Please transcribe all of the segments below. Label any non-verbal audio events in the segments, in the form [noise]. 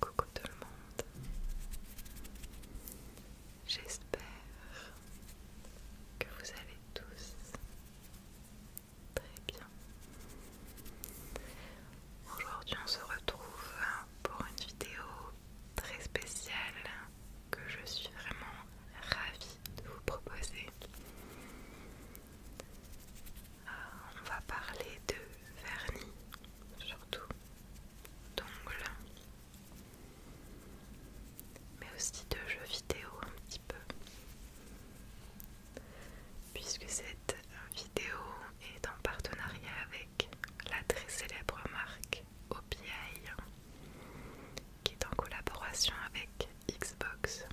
Coucou tout le monde, j'espère que vous allez tous très bien. Aujourd'hui on se retrouve pour une vidéo très spéciale que je suis vraiment ravie de vous proposer. Euh, on va parler de vernis, surtout d'ongles, mais aussi de jeux vidéo un petit peu. Puisque cette vidéo est en partenariat avec la très célèbre marque OPI, qui est en collaboration avec Xbox.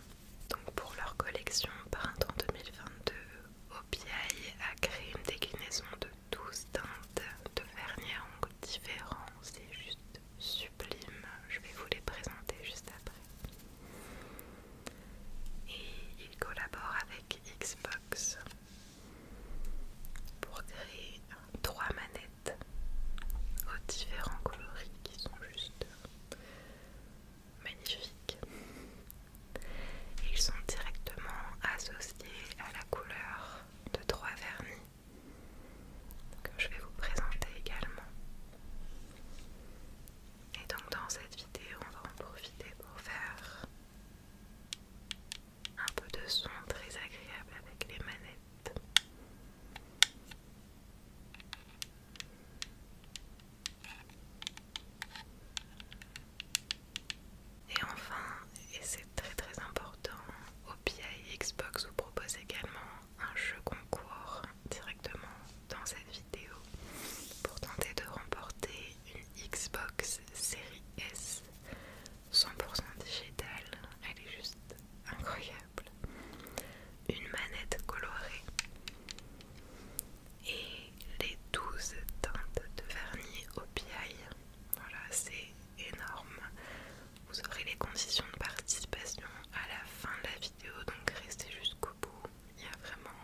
Donc pour leur collection printemps 2022, OPI a créé une déclinaison de 12 teintes de vernis en ongles différents. C'est juste sublime. Je vais vous les présenter juste après. Et ils collaborent avec Xbox pour créer trois manettes aux différents coloris qui sont juste magnifiques. Ils sont directement associés à la couleur de trois vernis que je vais vous présenter également. Et donc dans cette vidéo, on va en profiter pour faire un peu de son très agréable avec les manettes. Et enfin, et c'est très très important, OPI Xbox vous propose également un jeu concours directement dans cette vidéo pour tenter de remporter une Xbox Series S 100% digitale. Elle est juste incroyable une manette colorée et les 12 teintes de vernis au Voilà, c'est énorme. Vous aurez les conditions de participation à la fin de la vidéo, donc restez jusqu'au bout. Il n'y a vraiment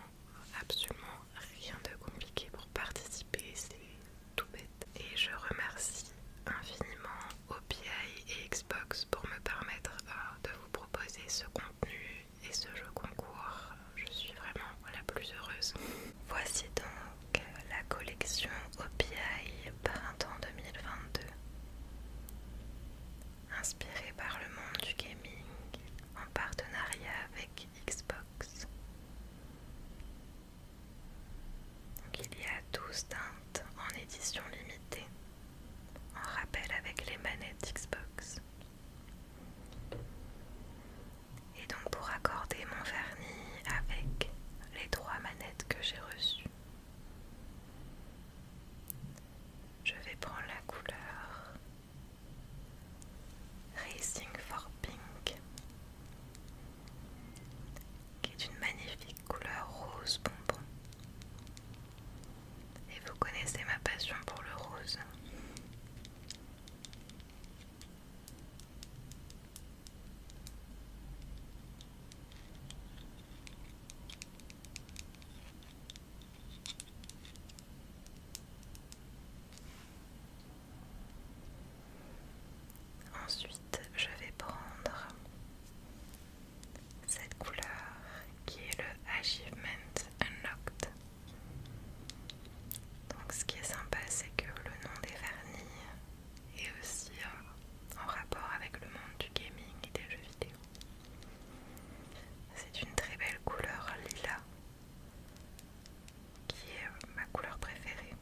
absolument rien de compliqué pour participer, c'est tout bête. Et je remercie infiniment OPI et Xbox pour me permettre euh, de vous proposer ce contenu et ce jeu concours. Je suis vraiment la plus heureuse. Voici donc la collection OPI printemps 2022. Inspirée par le monde du gaming en partenariat avec Xbox. il y a 12 teintes en édition limitée en rappel avec les manettes Xbox. Et donc pour accorder mon vernis avec les trois manettes que j'ai reçues, je vais prendre la couleur Racing for Pink, qui est une magnifique couleur rose bonbon. Et vous connaissez ma passion pour le rose. Ensuite, je vais prendre cette couleur qui est le Achievement Unlocked. Donc ce qui est sympa c'est que le nom des vernis est aussi euh, en rapport avec le monde du gaming et des jeux vidéo. C'est une très belle couleur lilas qui est euh, ma couleur préférée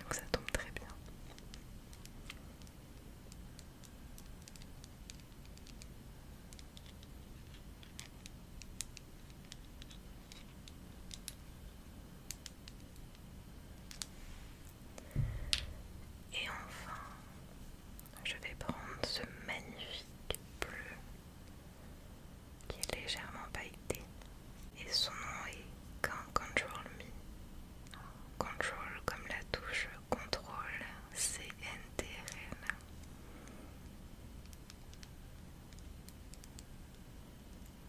donc ça tombe très bien et enfin, je vais prendre ce magnifique bleu qui est légèrement pailleté et son nom est Can Control Me Control comme la touche contrôle L.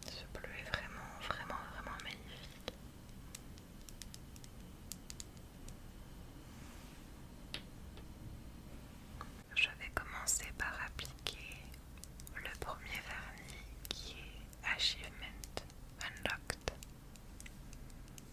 Ce bleu est vraiment, vraiment, vraiment magnifique. Je vais commencer par appliquer le premier vernis qui est Achievement Unlocked.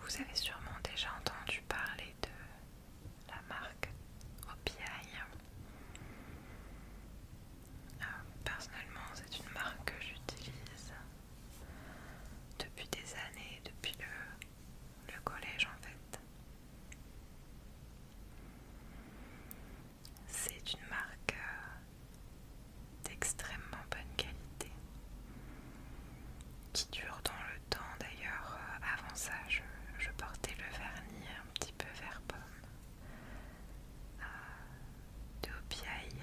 Vous avez sûrement déjà entendu parler de la marque OPI. Euh, personnellement, c'est une marque que j'utilise depuis des années, depuis le collège en fait. C'est une marque euh, d'extrêmement bonne qualité qui dure dans le temps. D'ailleurs, euh, avant ça, je, portais le vernis un petit peu vert pomme euh, de OPI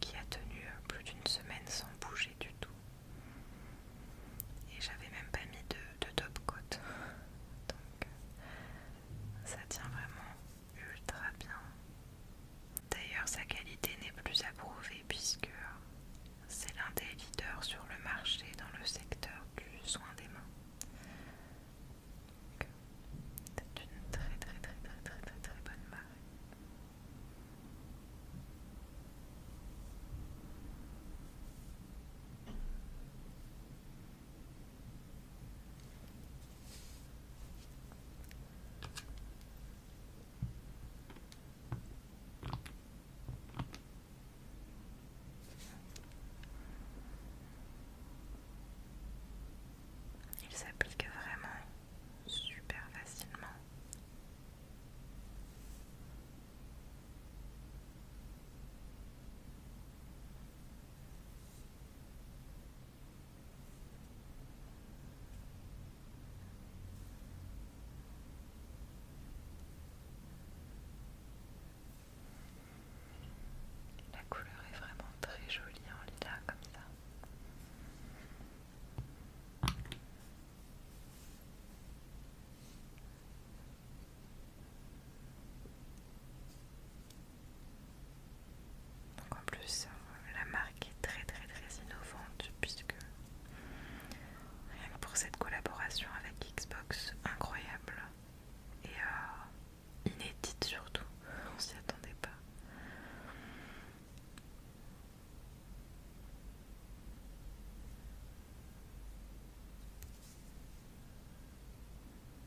qui a tenu plus d'une semaine sans bouger du tout. Et j'avais même pas mis de, de top coat. [laughs] Donc, ça tient vraiment ultra bien. D'ailleurs, sa qualité n'est plus approuvée puisque c'est l'un des leaders sur le marché dans le secteur du soin des mains. C'est une très très très très très très très bonne marque. Il s'applique vraiment super facilement. La couleur est vraiment très jolie en l'état comme ça. Donc en plus euh, la marque est très très très innovante puisque rien que pour cette collaboration avec Xbox incroyable et euh, inédite surtout, on s'y attendait pas.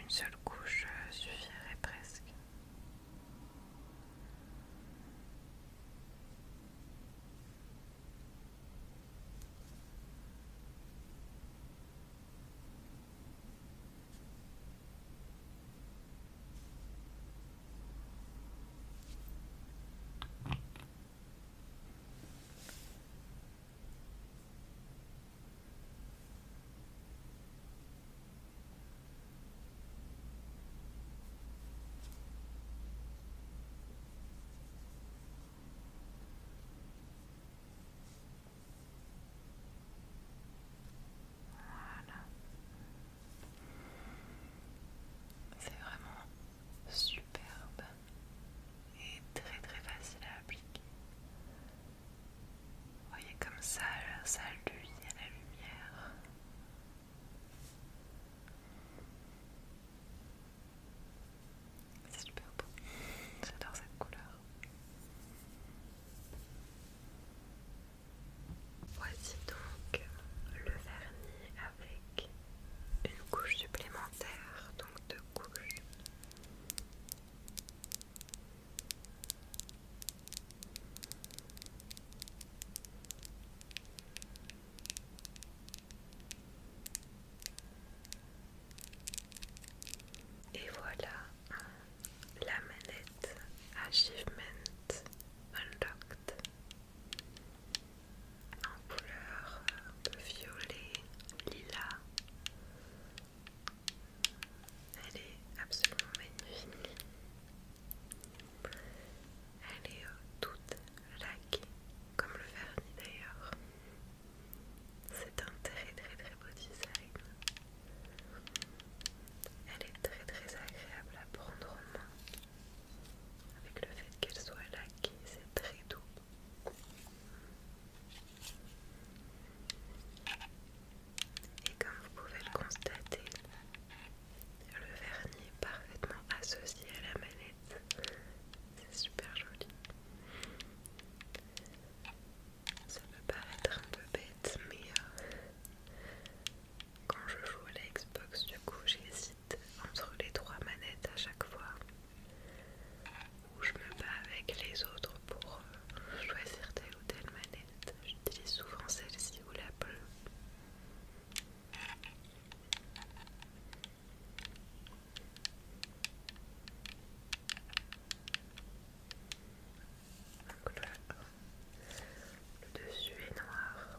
une seule couche euh, suffirait presque. Voilà. C'est vraiment superbe et très très facile à appliquer. Voyez comme ça, ça lui à la lumière. C'est super beau. J'adore cette couleur. Voici donc le vernis avec une couche supplémentaire, donc deux couches. Et voilà la manette Achievement Unlocked en couleur violet, lila elle est absolument magnifique. Elle est euh, toute laquée, comme le vernis d'ailleurs. C'est un très très très beau design. Elle est très très agréable à prendre en main. Avec le fait qu'elle soit laquée, c'est très doux. Et comme vous pouvez le constater, le vernis est parfaitement associé à la manette. C'est super joli. Ça peut paraître un peu bête, mais euh, quand je joue à la Xbox, du coup, j'hésite entre les trois manettes à chaque fois où je me bats avec les autres pour euh, choisir telle ou telle manette. J'utilise souvent celle-ci ou la bleue. le, dessus est noir.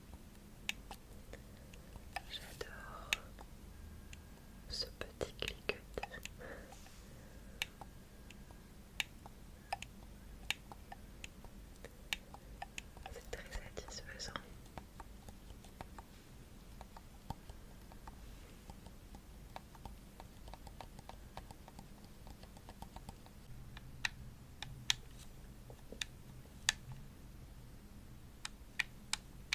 J'adore ce petit cliquet, C'est très satisfaisant.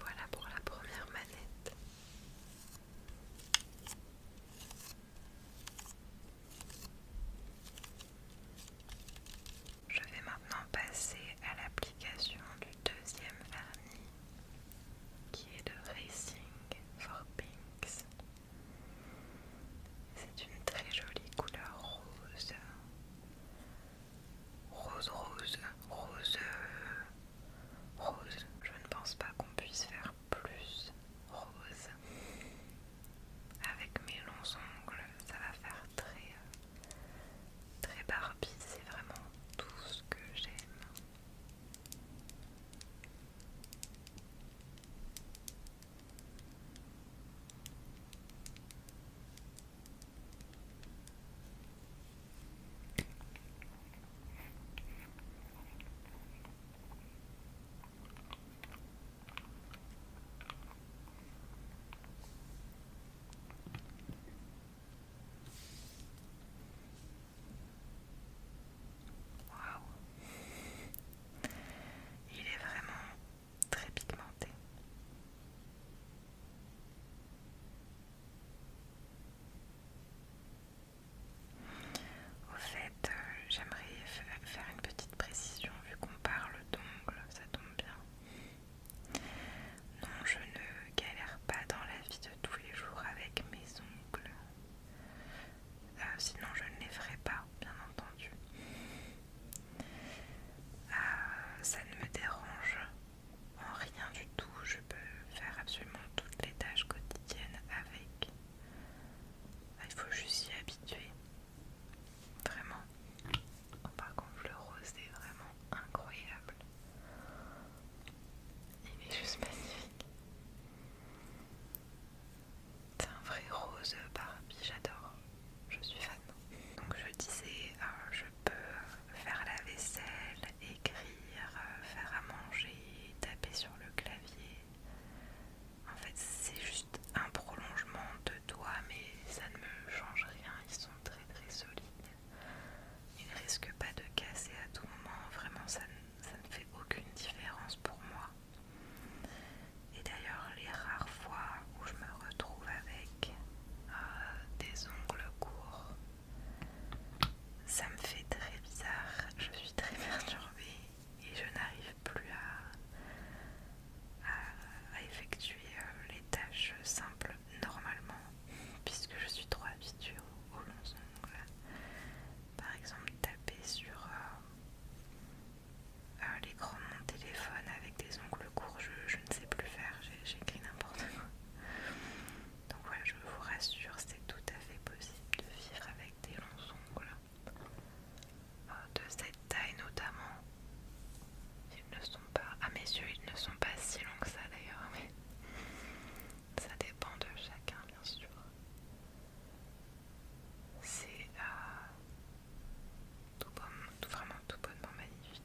Voilà pour la première manette. Je vais maintenant passer à l'application du deuxième vernis qui est de Racing for Pinks. C'est une très jolie couleur rose Rose, rose, rose, rose. Je ne pense pas qu'on puisse faire plus rose. Avec mes longs ongles, ça va faire très, euh, très Barbie. C'est vraiment tout ce que j'aime il est vraiment très pigmenté. Au fait, euh, j'aimerais faire une petite précision vu qu'on parle d'ongles, ça tombe bien. Non, je ne galère pas dans la vie de tous les jours avec mes ongles. Euh, sinon, je ne les ferai pas, bien entendu. Euh, ça ne me dérange en rien du tout. Je peux faire absolument toutes les tâches quotidiennes avec. Bah, il faut juste s'y habituer. Vraiment. par contre, le rose est vraiment incroyable. Il est juste magnifique. C'est un vrai rose Barbie, j'adore je suis fan. Donc je disais, euh, je peux faire la vaisselle, écrire, euh, faire à manger, taper sur le clavier. En fait, c'est juste un prolongement de doigts mais ça ne me change rien. Ils sont très très solides. Ils ne risquent pas de casser à tout moment. Vraiment, ça ça ne fait aucune différence pour moi. Et d'ailleurs, les rares fois où je me retrouve avec, euh, des ongles courts. Ça me fait très bizarre, je suis très [laughs] perturbée et je n'arrive plus à, effectuer euh, les tâches simples normalement puisque je suis trop habituée aux, longs ongles. Par exemple, taper sur les euh, mon téléphone avec des ongles courts, je, ne sais plus faire, j'écris n'importe quoi. Donc voilà, je vous rassure, c'est tout à fait possible de vivre avec des longs ongles euh, de cette taille notamment. Ils ne sont pas, à mes yeux, ils ne sont pas si longs que ça d'ailleurs, mais ça dépend de chacun bien sûr. C'est euh, tout vraiment tout bonnement magnifique.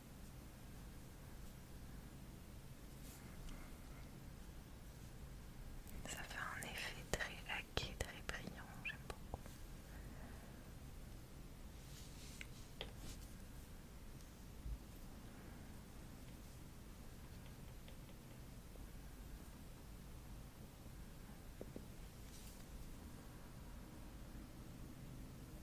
Ça fait un effet très laqué, très brillant, j'aime beaucoup.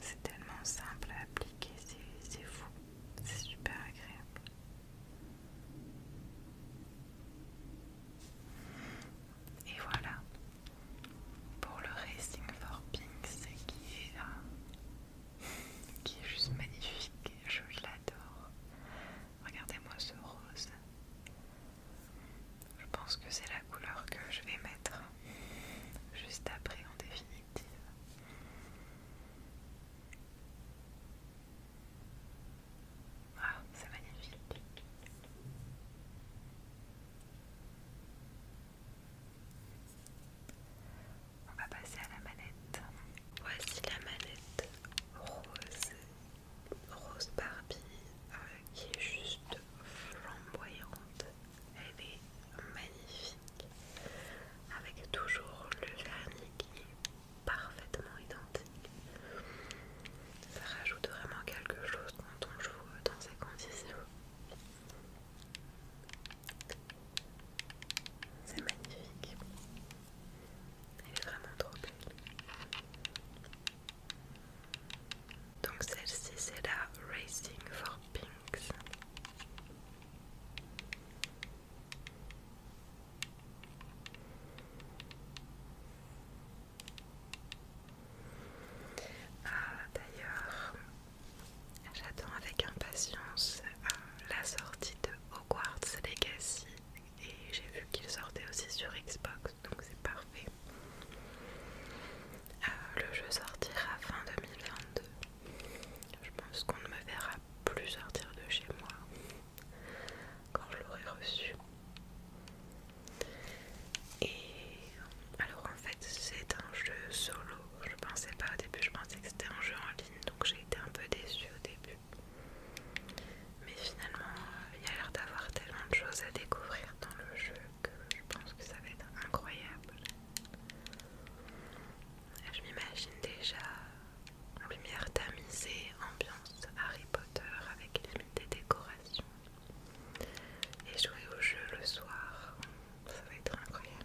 C'est tellement simple à appliquer, c'est fou, c'est super agréable. Et voilà pour le Racing for Pinks qui est qui est juste magnifique, je l'adore. Regardez-moi ce rose. Je pense que c'est la couleur que je vais mettre juste après en définitive. Waouh, c'est magnifique. On va passer à la manette. Voici la manette rose, rose Barbie, euh, qui est juste flamboyante. Elle est magnifique, avec toujours le vernis qui est parfaitement identique. Ça rajoute vraiment quelque chose quand on joue dans ces conditions. C'est magnifique. Elle est vraiment trop belle. Donc celle-ci c'est la Racing for Pinks. Ah, D'ailleurs, j'attends avec impatience euh, la sortie de Hogwarts Legacy et j'ai vu qu'il sortait aussi sur Xbox donc c'est parfait. Euh, le jeu sortira fin 2022. Je pense qu'on ne me verra plus sortir de chez moi quand je l'aurai reçu. Et alors en fait c'est un jeu solo. Je pensais pas au début, je pensais que c'était un jeu en ligne donc j'ai été un peu déçue au début. Mais finalement, il y a l'air d'avoir tellement de choses à découvrir dans le jeu que je pense que ça va être incroyable. Je m'imagine déjà lumière tamisée, ambiance Harry Potter avec des décorations. Et jouer au jeu le soir, ça va être incroyable.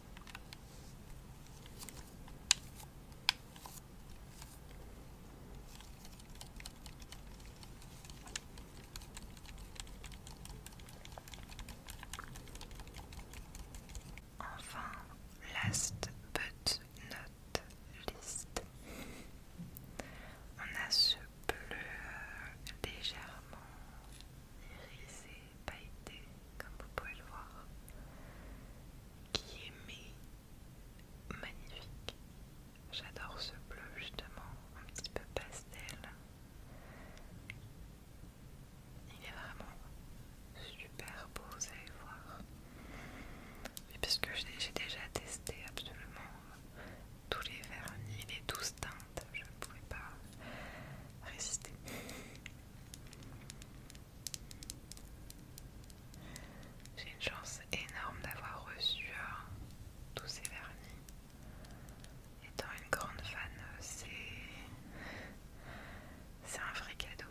Enfin, last but not least, on a ce bleu légèrement irisé pailleté, comme vous pouvez le voir, qui est mais magnifique. J'adore ce bleu justement, un petit peu pastel. Il est vraiment super beau, vous allez voir. Mais puisque j'ai déjà testé absolument tous les vernis, les douze teintes, je ne pouvais pas résister. J'ai une chance énorme d'avoir reçu euh, tous ces vernis. Étant une grande fan, euh, c'est c'est un vrai cadeau.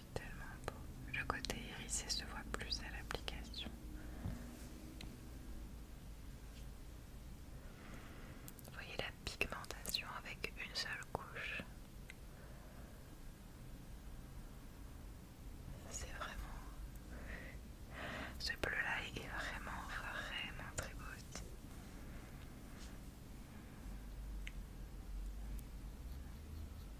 tellement beau. Le côté hérissé se voit plus à l'application. voyez la pigmentation avec une seule couche. C'est vraiment... Ce bleu-là est vraiment, vraiment très beau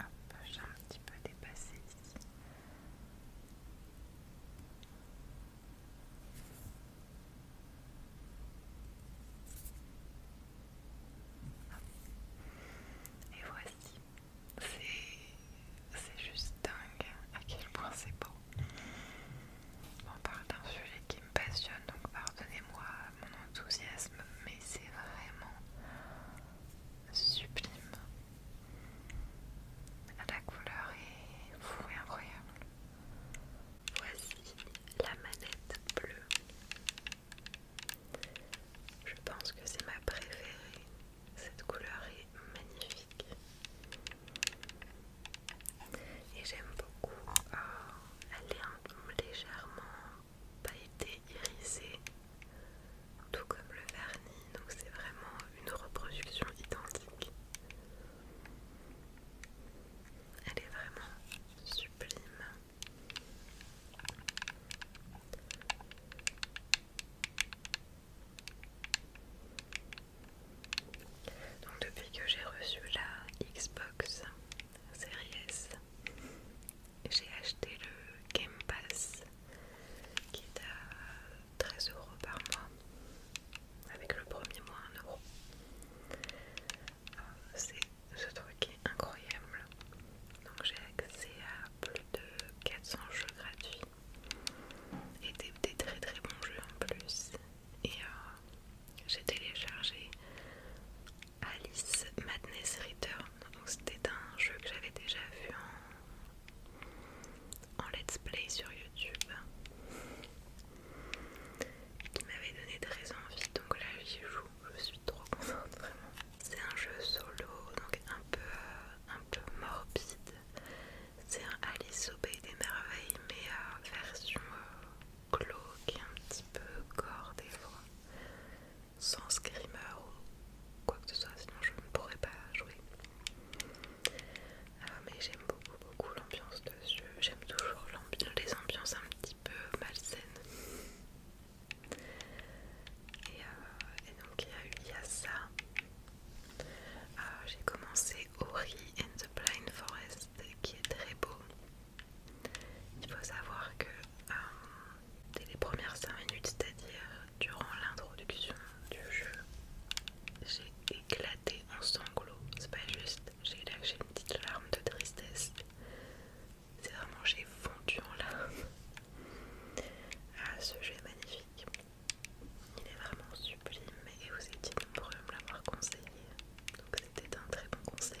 Hop, j'ai un petit peu dépassé ici. Et voici, c'est juste dingue à quel point c'est beau. On parle d'un sujet qui me passionne, donc pardonnez-moi mon enthousiasme, mais c'est vraiment sublime. La couleur est fou et incroyable. Voici la manette bleue. Je pense que c'est ma préférée. Cette couleur est magnifique. Et j'aime beaucoup. Oh, elle est un peu légèrement pailletée, irisée, tout comme le vernis. Donc c'est vraiment une reproduction identique. Elle est vraiment sublime. Donc depuis que j'ai reçu la Xbox Series S, j'ai acheté le Game Pass qui est à 13 euros par mois avec le premier mois un euro. Euh, c'est ce truc est incroyable. Donc j'ai accès à plus de 400 jeux gratuits et des, très très bons jeux en plus. Et euh, j'ai téléchargé Alice Madness Return. Donc c'était un jeu que j'avais déjà vu en let's play sur YouTube qui m'avait donné très envie. Donc là, j'y joue, je suis trop contente vraiment. C'est un jeu solo, donc un peu, euh, un peu morbide. C'est un Alice au pays des merveilles, mais euh, version cloque, euh, et un petit peu gore des fois, sans screamer ou quoi que ce soit, sinon je ne pourrais pas jouer. Ah, mais j'aime beaucoup, beaucoup l'ambiance de ce jeu. J'aime toujours les ambiances un petit peu malsaines. Et, euh, donc, il y, a eu, ça. Ah, j'ai commencé Ori and the Blind Forest qui est très beau. Il faut savoir que euh, dès les premières 5 minutes, c'est-à-dire durant l'introduction du jeu, j'ai éclaté en sanglots. C'est pas juste, j'ai lâché une petite larme de tristesse. C'est vraiment, j'ai fondu en larmes. Ah, ce jeu est magnifique. Il est vraiment sublime et vous étiez nombreux à me l'avoir conseillé. Donc c'était un très bon conseil.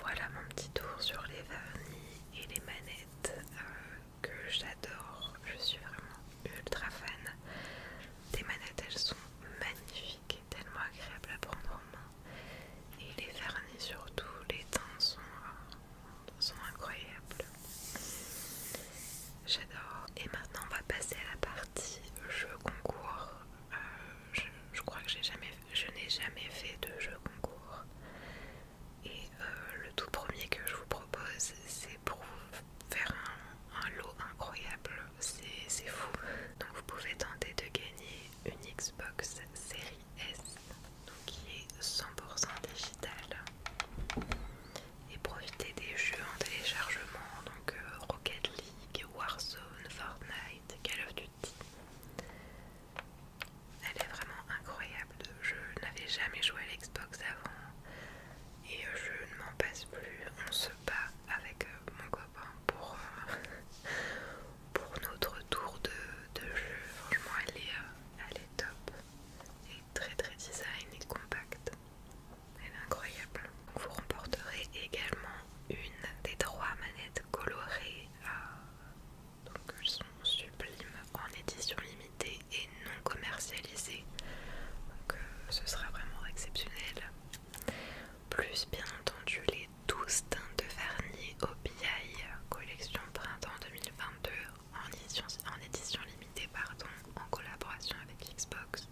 Voilà mon petit tour sur les vernis et les manettes euh, que j'adore. Je suis vraiment ultra fan. Des manettes, elles sont magnifiques tellement agréables à prendre en main. Et les vernis, surtout, les teintes sont, incroyables. J'adore. Et maintenant, on va passer à la partie jeu concours. Euh, je, crois que jamais, je n'ai jamais fait de jeu concours. Et euh, le tout premier que je vous propose, c'est pour faire un, lot incroyable, c'est fou. Donc vous pouvez tenter de gagner une Xbox Series S, qui est 100% digitale, et profiter des jeux en téléchargement, donc euh, Rocket League, Warzone, Fortnite, Call of Duty. Elle est vraiment incroyable, je n'avais jamais joué à l'Xbox avant et euh, je ne m'en passe plus. On se bat avec euh, mon copain pour, euh, [laughs] pour notre tour de, jeu. Franchement, elle est, elle est top et très très design et compacte. Elle est incroyable. Vous remporterez également une des trois manettes colorées. donc elles sont sublimes en édition limitée et non commercialisés. Donc euh, ce sera vraiment exceptionnel. Plus bien entendu les 12 teintes de vernis OBI collection printemps 2022 en édition, en édition limitée pardon, en collaboration avec Xbox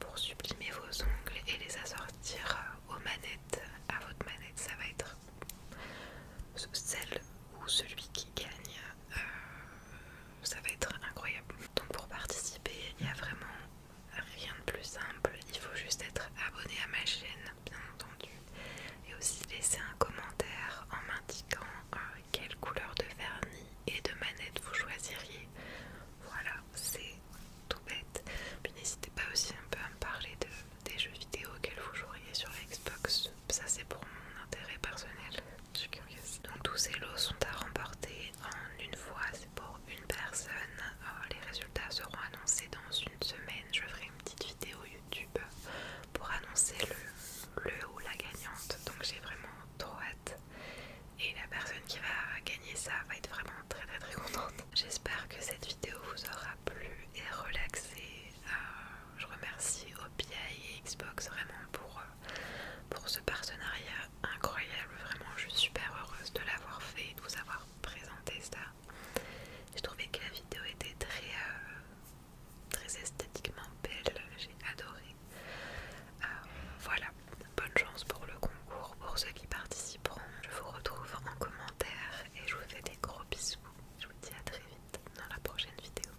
pour sublimer vos ongles et les assortir euh, aux manettes, à votre manette ça va être celle ou celui qui gagne euh, ça va être incroyable. Donc pour participer, il n'y a vraiment rien de plus simple. Il faut juste être abonné à ma chaîne, bien entendu, et aussi laisser un commentaire en m'indiquant euh, quelle couleur de vernis et de manette vous choisiriez. Voilà, c'est tout bête. Puis n'hésitez pas aussi un peu à me parler des jeux vidéo auxquels vous joueriez sur Xbox. Ça c'est pour mon intérêt personnel. Donc tous ces lots sont à remporter en une fois, c'est pour une personne. Euh, les résultats seront annoncés dans une semaine. Je ferai une petite vidéo YouTube pour annoncer le, le ou la gagnante. Donc j'ai vraiment trop hâte. Et la personne qui va gagner ça va être vraiment très très très contente. [laughs] J'espère que cette vidéo vous aura plu et relaxé. Euh, je remercie OPI et Xbox vraiment pour... Euh, pour ce partenariat incroyable. Vraiment, je suis super heureuse de l'avoir fait et de vous avoir présenté ça. J'ai trouvé que la vidéo était très, euh, très esthétiquement belle, j'ai adoré. Euh, voilà, bonne chance pour le concours, pour ceux qui participeront. Je vous retrouve en commentaire et je vous fais des gros bisous. Je vous dis à très vite dans la prochaine vidéo.